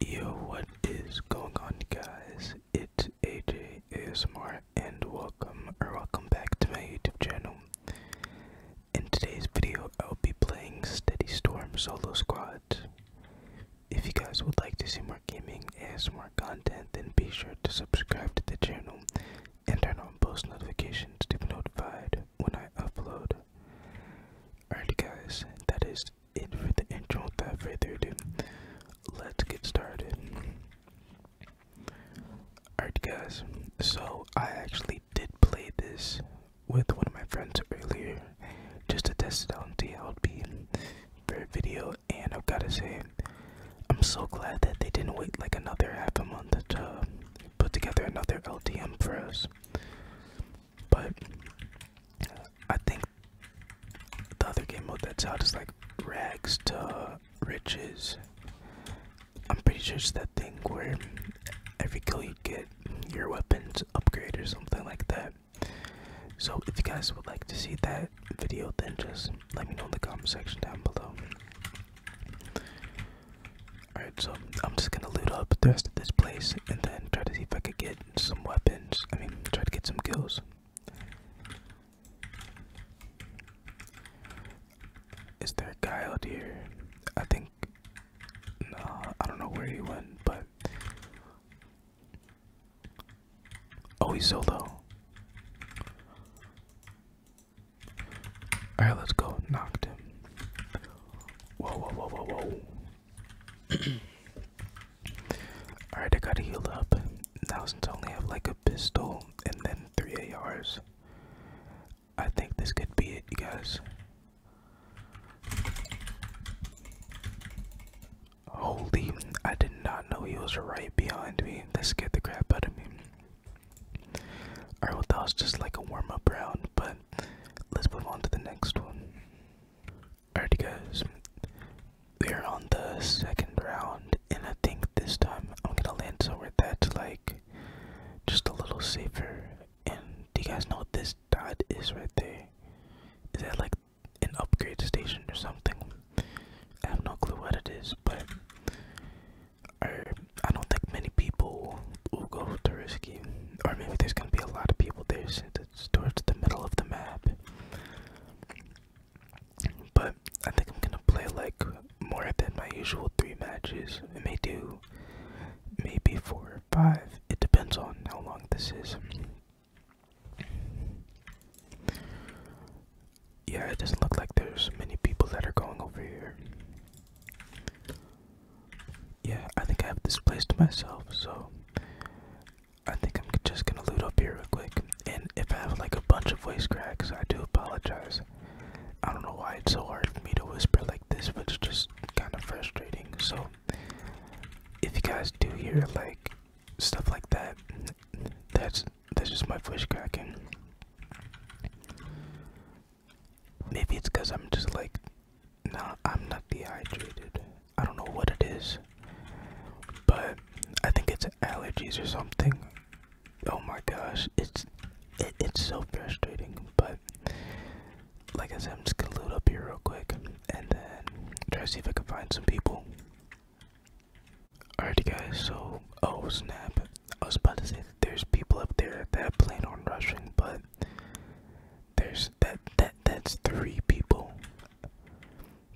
Yo, what is going on, guys? It's AJ ASMR, and welcome or welcome back to my YouTube channel. In today's video, I'll be playing Steady Storm Solo Squad. If you guys would like to see more gaming and more content, then be sure to subscribe to the channel and turn on post notifications to be notified when I upload. Alright guys, that is just it for the intro. Without further ado, let's get started. Alright, guys. So I actually did play this with one of my friends earlier, just to test it out and see how video. And I've gotta say, I'm so glad that they didn't wait like another half a month to put together another LDM for us. But I think the other game mode that's out is like rags to riches. I'm pretty sure it's that thing where every kill you get, your weapons upgrade or something like that. So if you guys would like to see that video, then just let me know in the comment section down below. Alright, so I'm just gonna loot up the rest of this place and then try to see if I could get some weapons. I mean, try to get some kills. Is there a guy out here? I think. No, I don't know where he went, but. Oh, he's so low. Alright, let's go. Knocked him. Whoa, whoa, whoa, whoa, whoa. Alright, I gotta up. Now since I only have like a pistol and then three ARs, I think this could be it, you guys. Holy, I did not know he was right behind me. This scared the crap out of me. Alright, well, that was just like a warm up round, but let's move on to the next one. Alrighty guys, we are on the second round, and I think this time I'm gonna land somewhere that's like just a little safer. And do you guys know what this dot is right there? Is that like an upgrade station or something? I have no clue what it is, but I don't think many people will go to risky or maybe there's gonna be a lot of people there since it's towards the middle of the map. But I think I'm gonna play like more than my usual three matches. I may do maybe four or five. It depends on how long this is. Yeah, it doesn't look like there's many people that are going over here. Yeah, I think I have this place to myself, so I think I'm just gonna loot up here real quick. And if I have like a bunch of voice cracks, I do apologize. I don't know why it's so hard for me to whisper like this, but it's just kind of frustrating. So, if you guys do hear like stuff like that, that's that's just my voice cracking. Maybe it's because I'm just like Nah, I'm not dehydrated. I don't know what it is, but I think it's allergies or something. Oh my gosh, it's it's so frustrating. But like I said, I'm just gonna load up here real quick and then try to see if I can find some people. Alrighty, guys. So, oh snap! I was about to say that there's people up there that plan on rushing, but there's that that that's three people.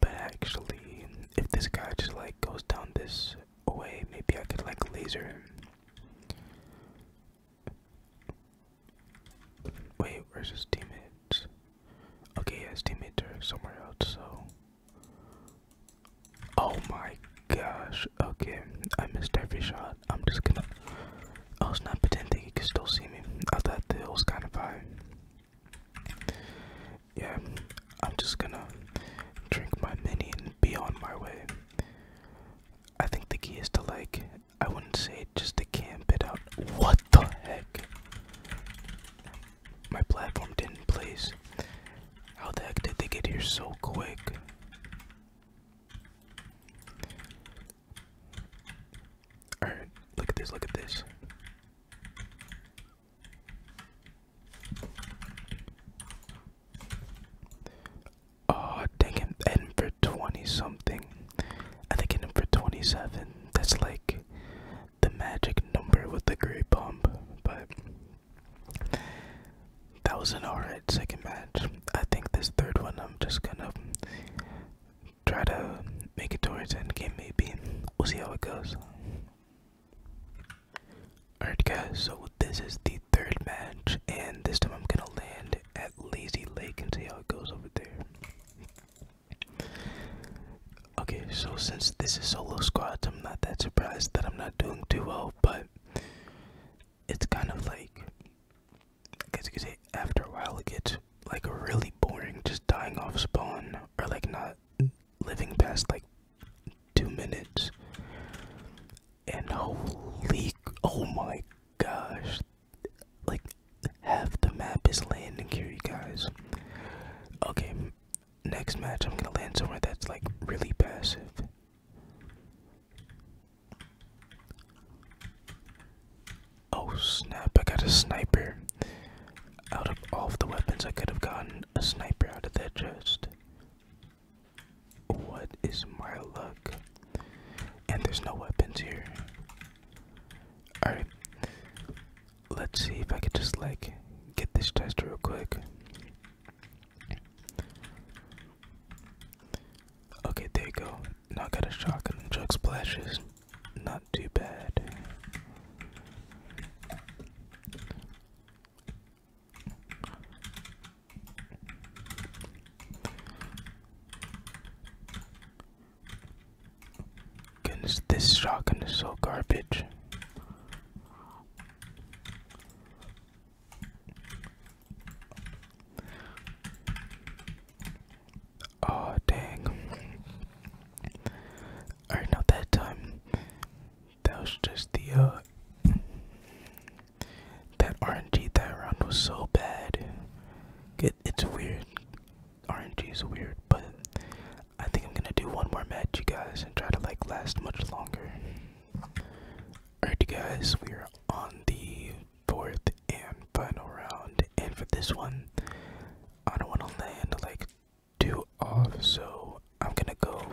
But actually, if this guy just like goes down this way, maybe I could like laser him. Wait, where's his teammates? Okay, yeah, his teammates are somewhere else, so. Oh my gosh. Okay, I missed every shot. I'm just gonna. I was not pretending you could still see me. I thought that was kind of high. Yeah, I'm just gonna drink my mini and be on my way. I think the key is to like, I wouldn't say just to camp it out. What the heck? My platform didn't place. How the heck did they get here so quick? Alright, look at this, look at this. Oh, dang him, for 20 something. I think in for 27. That's like the magic number with the gray bump, but that was an alright second match. I think this third one I'm just gonna try to make it towards end game maybe. We'll see how it goes. Alright guys, so this is the third match and this time I'm gonna land at Lazy Lake and see how it goes over there. Okay, so since this is solo squads, I'm not that surprised that I'm not doing too well, but it's kind of like I you could say after a while it gets like really boring just dying off spawn or like not living past like two minutes and holy oh my gosh like half the map is landing here guys okay next match i'm gonna land somewhere that's like really passive Oh snap, I got a sniper. Out of all the weapons, I could have gotten a sniper out of that chest. What is my luck? And there's no weapons here. Alright, let's see if I can just like get this chest real quick. Okay, there you go. Not I got a shotgun and jug splashes. Not too bad. Goodness, this shotgun is so garbage. Oh dang. Alright now that time that was just the uh that RNG that round was so bad. It, it's weird. RNG is weird, but I think I'm gonna do one more match you guys and try to like last much longer. Alright you guys, we're on the fourth and final round. And for this one, I don't want to land like too off, so I'm gonna go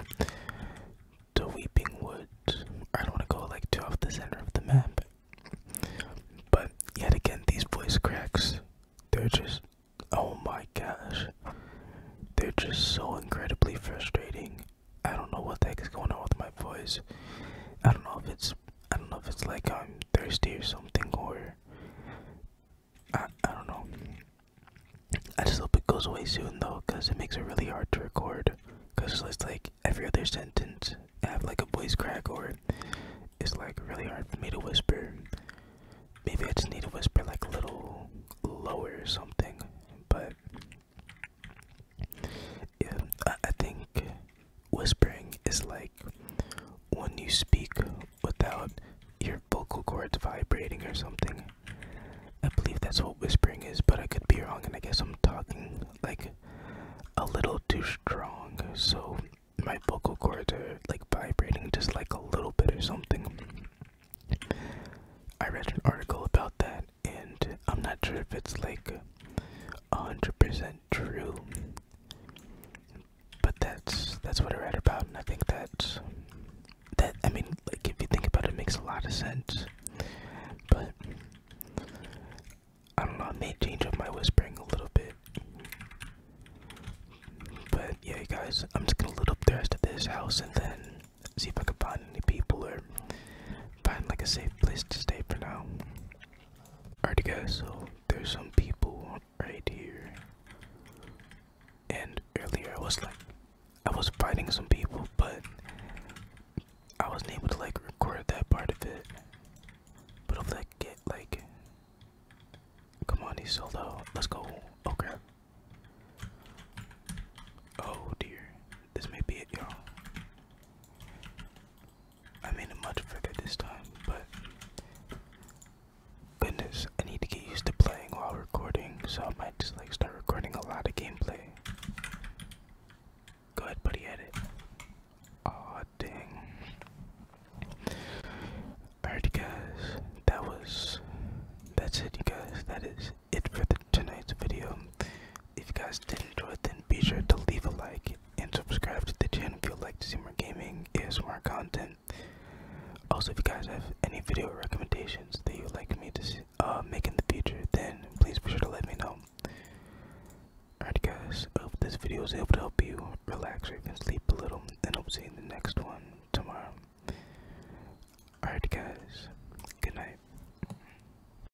to Weeping Wood. I don't want to go like too off the center of the map. But yet again, these voice cracks, they're just, oh my gosh, they're just so incredibly frustrating. I don't know what the heck is going on with my voice. I don't know if it's I don't know if it's like I'm thirsty or something, or I, I don't know. I just hope it goes away soon though, because it makes it really hard to record. Because it's like every other sentence, I have like a voice crack, or it's like really hard for me to whisper. Maybe I just need to whisper like a little lower or something, but I think whispering is like when you speak without your vocal cords vibrating or something. I believe that's what whispering is, but I could be wrong, and I guess I'm talking like a little too strong, so my vocal cords are like vibrating just like a little bit or something. I read an article about that and i'm not sure if it's like 100% true but that's that's what i read about and i think that that i mean like if you think about it, makes a lot of sense but i don't know i made change up my whispering a little bit but yeah guys i'm just gonna look up the rest of this house and then see if i can find any people or find like a safe place to stay for now Alrighty, guys, so there's some people right here. And earlier I was like, I was fighting some people, but I wasn't able to like record that part of it. But if I get like, come on, he's so low. Let's go. Oh crap. Oh dear. This may be it, y'all. I made it much bigger this time, but goodness, I need to get used to playing while recording, so I might just like start recording a lot of gameplay. Go ahead, buddy, edit. Aw, dang. Alright, guys, that was. That's it, you guys. That is it for tonight's video. If you guys did enjoy it, then be sure to leave a like and subscribe to the channel if you'd like to see more gaming, more content. Also, if you guys have any video recommendations that you'd like me to uh, make in the future, then please be sure to let me know. Alright guys, hope this video was able to help you relax or even sleep a little, and I'll see you in the next one tomorrow. Alright guys, good night.